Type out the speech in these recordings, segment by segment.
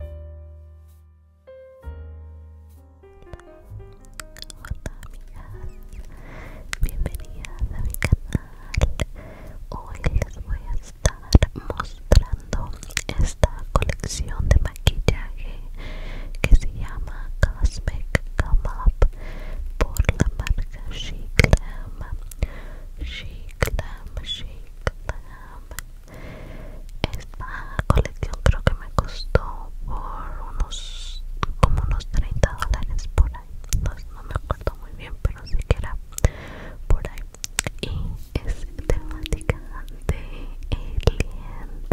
Hola amigas, bienvenidas a mi canal. Hoy les voy a estar mostrando esta colección de maquillaje que se llama Cosmic Come Up por la marca She Glam. She Glam, She Glam, esta colección creo que me costó por unos como unos 30 dólares por ahí. No, me acuerdo muy bien, pero sí que era por ahí. Y es temática de aliens.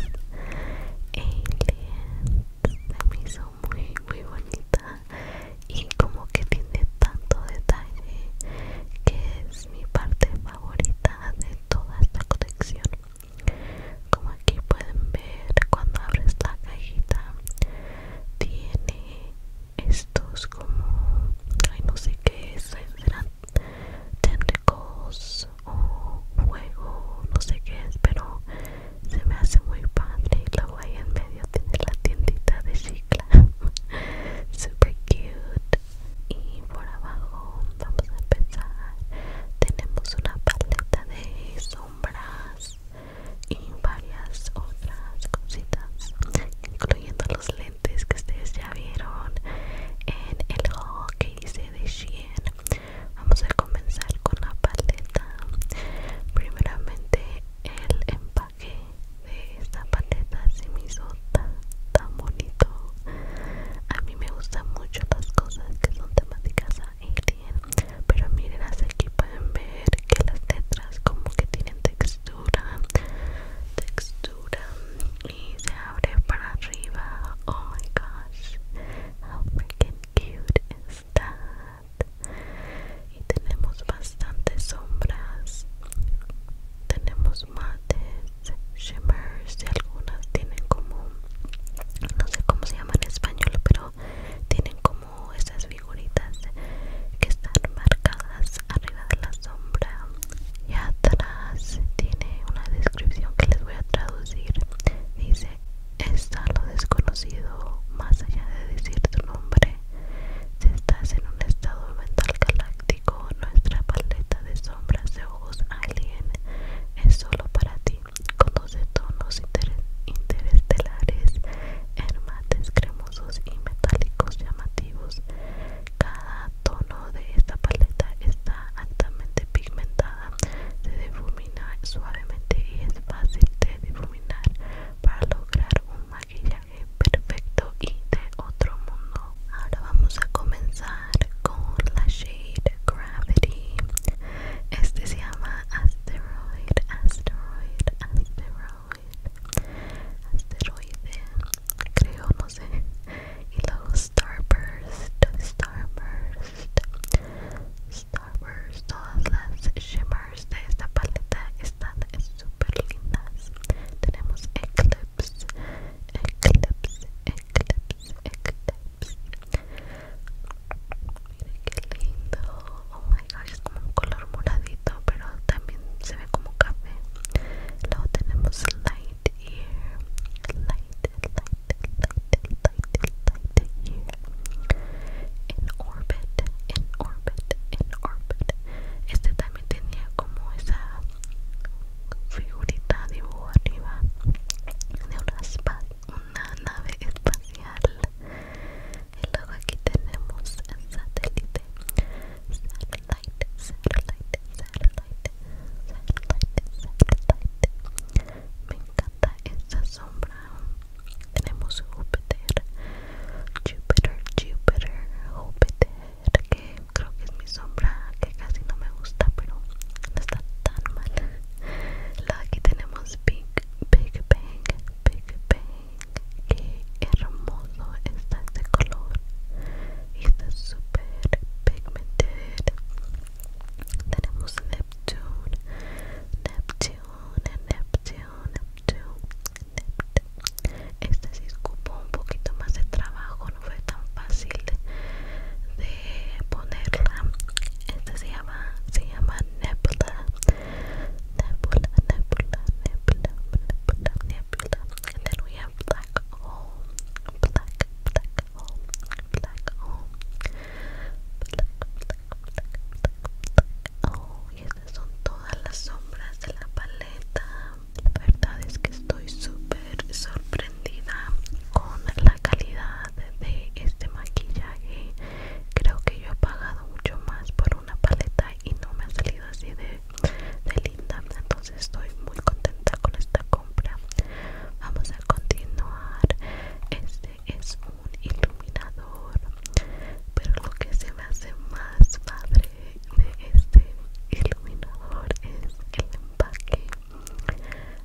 Aliens. me hizo muy, muy bonita. Y como que tiene tanto detalle que es mi parte favorita de toda esta colección como aquí pueden ver cuando abres la cajita tiene estos como ay no sé qué es eran tentacles o juego no sé qué es pero se me hace muy padre y luego ahí en medio tiene la tiendita de cicla super cute y por abajo vamos a empezar tenemos una paleta de sombras y varias otras cositas incluyendo los lentes que ustedes ya vieron en el juego que hice de Shein vamos a comenzar con la paleta primeramente el empaque de esta paleta se me tan, tan bonito. A mí me gustan mucho las cosas que son temáticas alien, pero miren, aquí pueden ver que las letras como que tienen textura, textura y se abre para arriba. Oh my gosh, how freaking cute is that? Y tenemos bastantes sombras, tenemos mates, shimmers y algunas tienen como no sé cómo se llama en español pero tienen como esas figuritas que están marcadas arriba de la sombra y atrás tiene una descripción que les voy a traducir dice está lo desconocido más allá de decir tu nombre si estás en un estado mental galáctico nuestra paleta de sombras de ojos alien es solo para ti, con 12 tonos interestelares, en mates cremosos y metálicos llamativos. Cada tono de esta paleta está altamente pigmentada, se difumina suavemente y es fácil de difuminar para lograr un maquillaje perfecto y de otro mundo ahora vamos a comenzar con la shade Gravity. Este se llama Asteroid, Asteroid, Asteroid, Asteroide, creo, no Y luego Starburst, Starburst, Starburst. Todas las shimmers de esta paleta están super lindas. Tenemos Eclipse, Eclipse eclipse, eclipse. Miren qué lindo. Oh my gosh, es como un color moradito, pero también se ve como café. Luego tenemos light ear. Light, light, light, light, light ear. orbit, in orbit, in orbit. Este también tenía como esa figurita dibujo arriba de una, una nave espacial y luego aquí tenemos el satélite satellite satellite satellite satellite satellite me encanta esa sombra tenemos Júpiter Júpiter Júpiter Júpiter este que creo que es mi sombra que casi no me gusta pero no está tan mal aquí tenemos Big, Big Bang, Big Bang que hermoso está este color y está super pigmented tenemos Neptune, Neptune, Neptune, Neptune, Este sí es cupo un poquito más de trabajo no fue tan fácil de, ponerla este se llama se llama nebula nebula nebula nebula nebula nebula and este black hole black black black hole black black black black, oh y estas son todas las sombras de la paleta la verdad es que estoy súper sorprendida con la calidad de este maquillaje. Creo que yo he pagado mucho más por una paleta y no me ha salido así de, linda. Entonces estoy muy contenta con esta compra. Vamos a continuar. Este es un iluminador. Pero lo que se me hace más padre de este iluminador es el empaque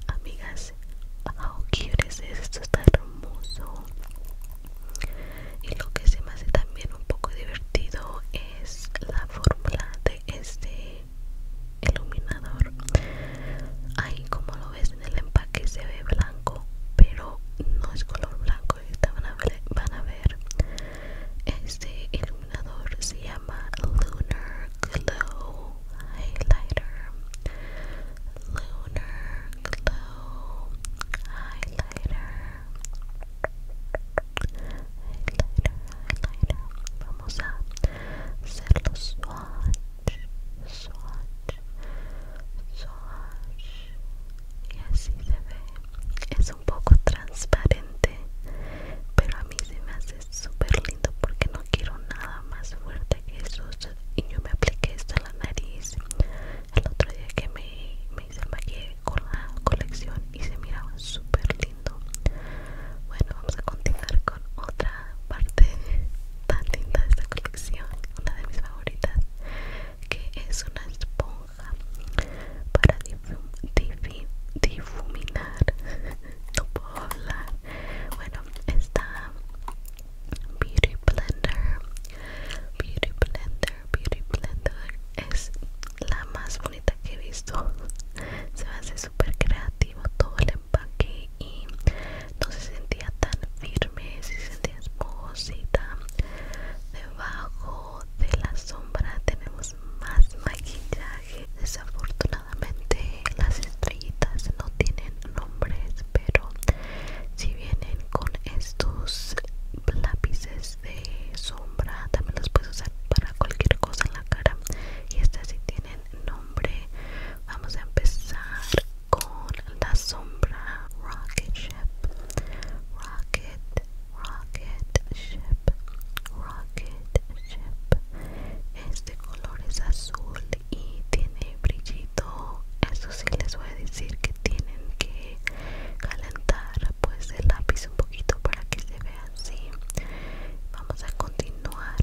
Amigas, how es esto, está hermoso. Y lo que se me hace también un poco divertido es la fórmula de este iluminador. Ahí como lo ves en el empaque se ve blanco, pero no es color blanco. Van a van a ver este iluminador se llama Lunar Glow Highlighter. Lunar Glow Highlighter. Highlighter, highlighter. Vamos a hacerlo swatch, swatch, swatch. Y así se ve. Es un poco transparente, pero a mí se me hace súper lindo porque no quiero nada más fuerte que eso y yo me apliqué esto a la nariz el otro día que me, hice maquillaje con la colección y se miraba súper lindo bueno vamos a continuar con otra parte tan linda de esta colección una de mis favoritas que es una esponja para difuminar hola bueno esta beauty blender beauty blender beauty blender es la más bonita que he visto se me hace súper creativo todo el empaque y no se sentía tan firme se sentía esponjosa, debajo de la sombra tenemos más maquillaje desafortunadamente las estrellitas no tienen nombres, pero si vienen con estos lápices de sombra, también los puedes usar para cualquier cosa en la cara. Y estas sí tienen nombre. Vamos a empezar con la sombra Rocket Ship. Rocket, Rocket Ship. Este color es azul y tiene brillito eso sí les voy a decir que tienen que calentar pues el lápiz un poquito para que se vea así vamos a continuar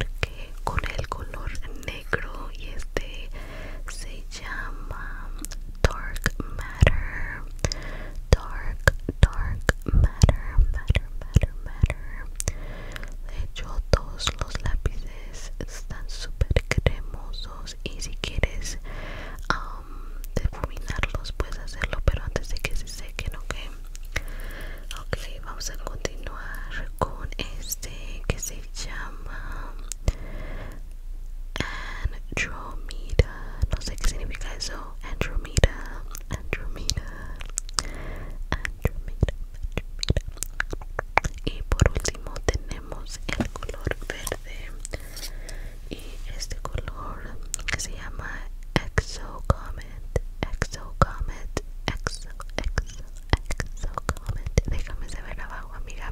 con el color negro y este se llama dark matter dark Dark Matter, Matter, Matter, Matter. De hecho, todos los lápices están súper cremosos y si quieres um, difuminarlos puedes hacerlo, pero antes de que se sequen, ok. Ok, vamos a continuar con este que se llama Andromeda. No sé qué significa eso, Andromeda. Andromeda, Andromeda, Y por último tenemos el color verde y este color que se llama Exo Comet, Exo Comet, Exo, Exo, Déjame saber abajo, amiga,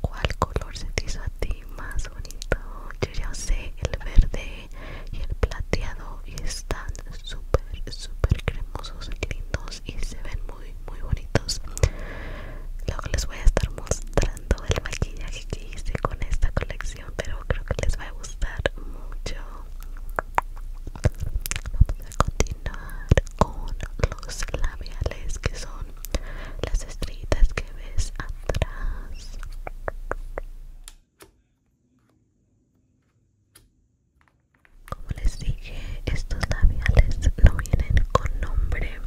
cuál color se te hizo a ti más bonito. Yo ya sé el verde y el plateado y están súper súper cremosos lindos y se ven muy muy bonitos luego les voy a estar mostrando el maquillaje que hice con esta colección pero creo que les va a gustar mucho vamos a continuar con los labiales que son las estrellitas que ves atrás como les dije, estos labiales no vienen con nombre,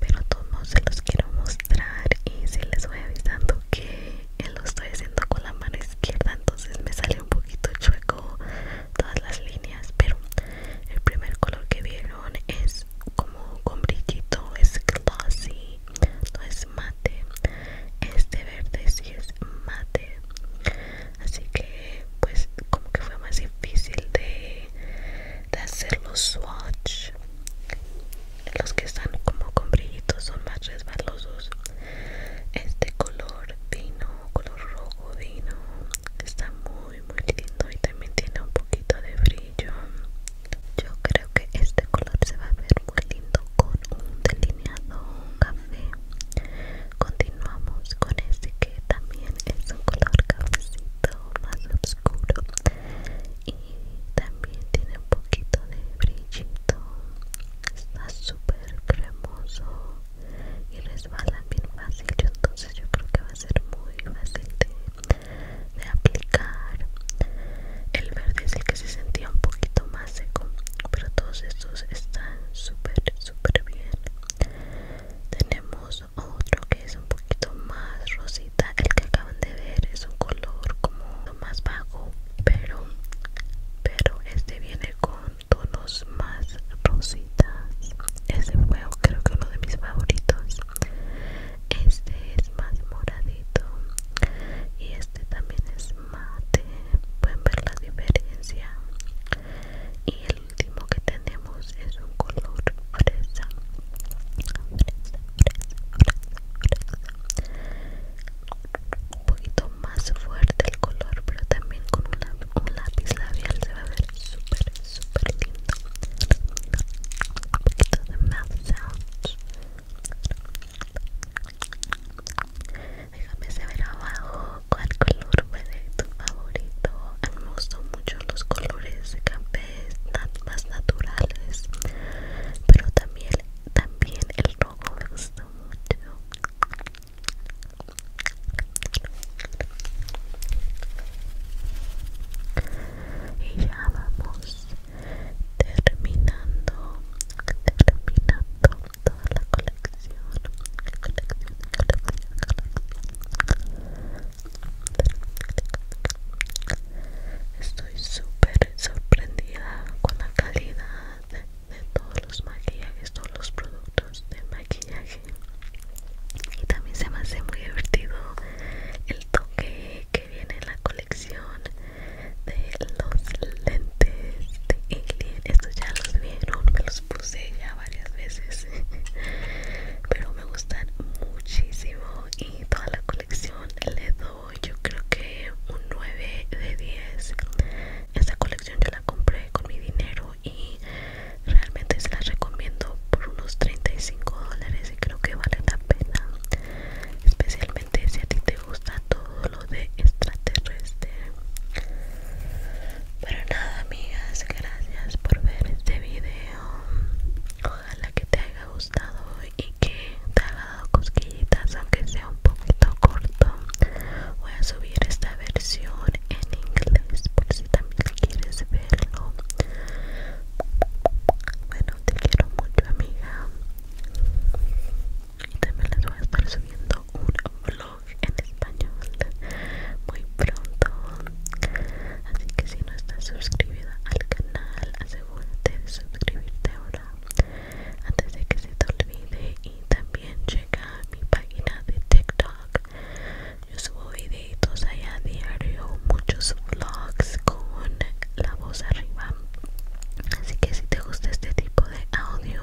pero todos se los quiero mostrar y se les voy avisando que eh, lo estoy haciendo con la mano izquierda, entonces me sale un poquito chueco todas las líneas, pero el primer color que vieron es como con brillito, es glossy, no es mate este verde sí es mate así que pues como que fue más difícil de, de hacer los swatch los que están como con brillitos son más resbalosos este color vino color rojo vino está muy muy lindo y también tiene un poquito de brillo yo creo que este color se va a ver muy lindo con un delineado café Continuamos con este que también es un color cafecito más oscuro y también tiene un poquito de brillito. Está súper cremoso y resbala bien fácil. Entonces yo creo que va a ser muy fácil de, aplicar. El verde es el que se sentía un poquito seco pero todos estos están súper súper bien tenemos otro que es un poquito más rosita el que acaban de ver es un color como más bajo pero pero este viene con tonos más rositas ese fue creo que uno de mis favoritos este es más moradito y este también es mate pueden ver la diferencia y el último que tenemos es un color fresa fresa fresa un poquito más fuerte el color pero también con un, lápiz labial se va a ver súper súper lindo un poquito de mouth sounds Déjame saber abajo cuál color fue tu favorito. A mí me gustan mucho los colores están más naturales, pero también, también el rojo me gustó mucho. Y ya vamos terminando, terminando toda la colección, Estoy súper sorprendida con la calidad de, todos los maquillajes, todos los productos de maquillaje. Y también se me hace muy divertido el toque que viene en la colección de los lentes de Estos ya los vieron, me los puse ya varias veces. Pero me gustan muchísimo y toda la colección le doy yo creo que un 9 de 10. Esta colección yo la compré con mi dinero y realmente se la recomiendo por unos 35 dólares y creo que vale la pena. Especialmente si a ti te gusta todo de extraterrestre. Pero nada, amigas, gracias por ver este video. Ojalá que te haya gustado y que te haya dado cosquillitas, aunque sea un poquito corto. Voy a subir esta versión en inglés por si también quieres verlo. Bueno, te quiero mucho, amiga. Y también les voy a estar subiendo un vlog en español muy pronto así que si no estás suscribida al canal asegúrate de suscribirte ahora antes de que se te olvide y también checa mi página de tiktok yo subo videitos allá a diario muchos vlogs con la voz arriba así que si te gusta este tipo de audio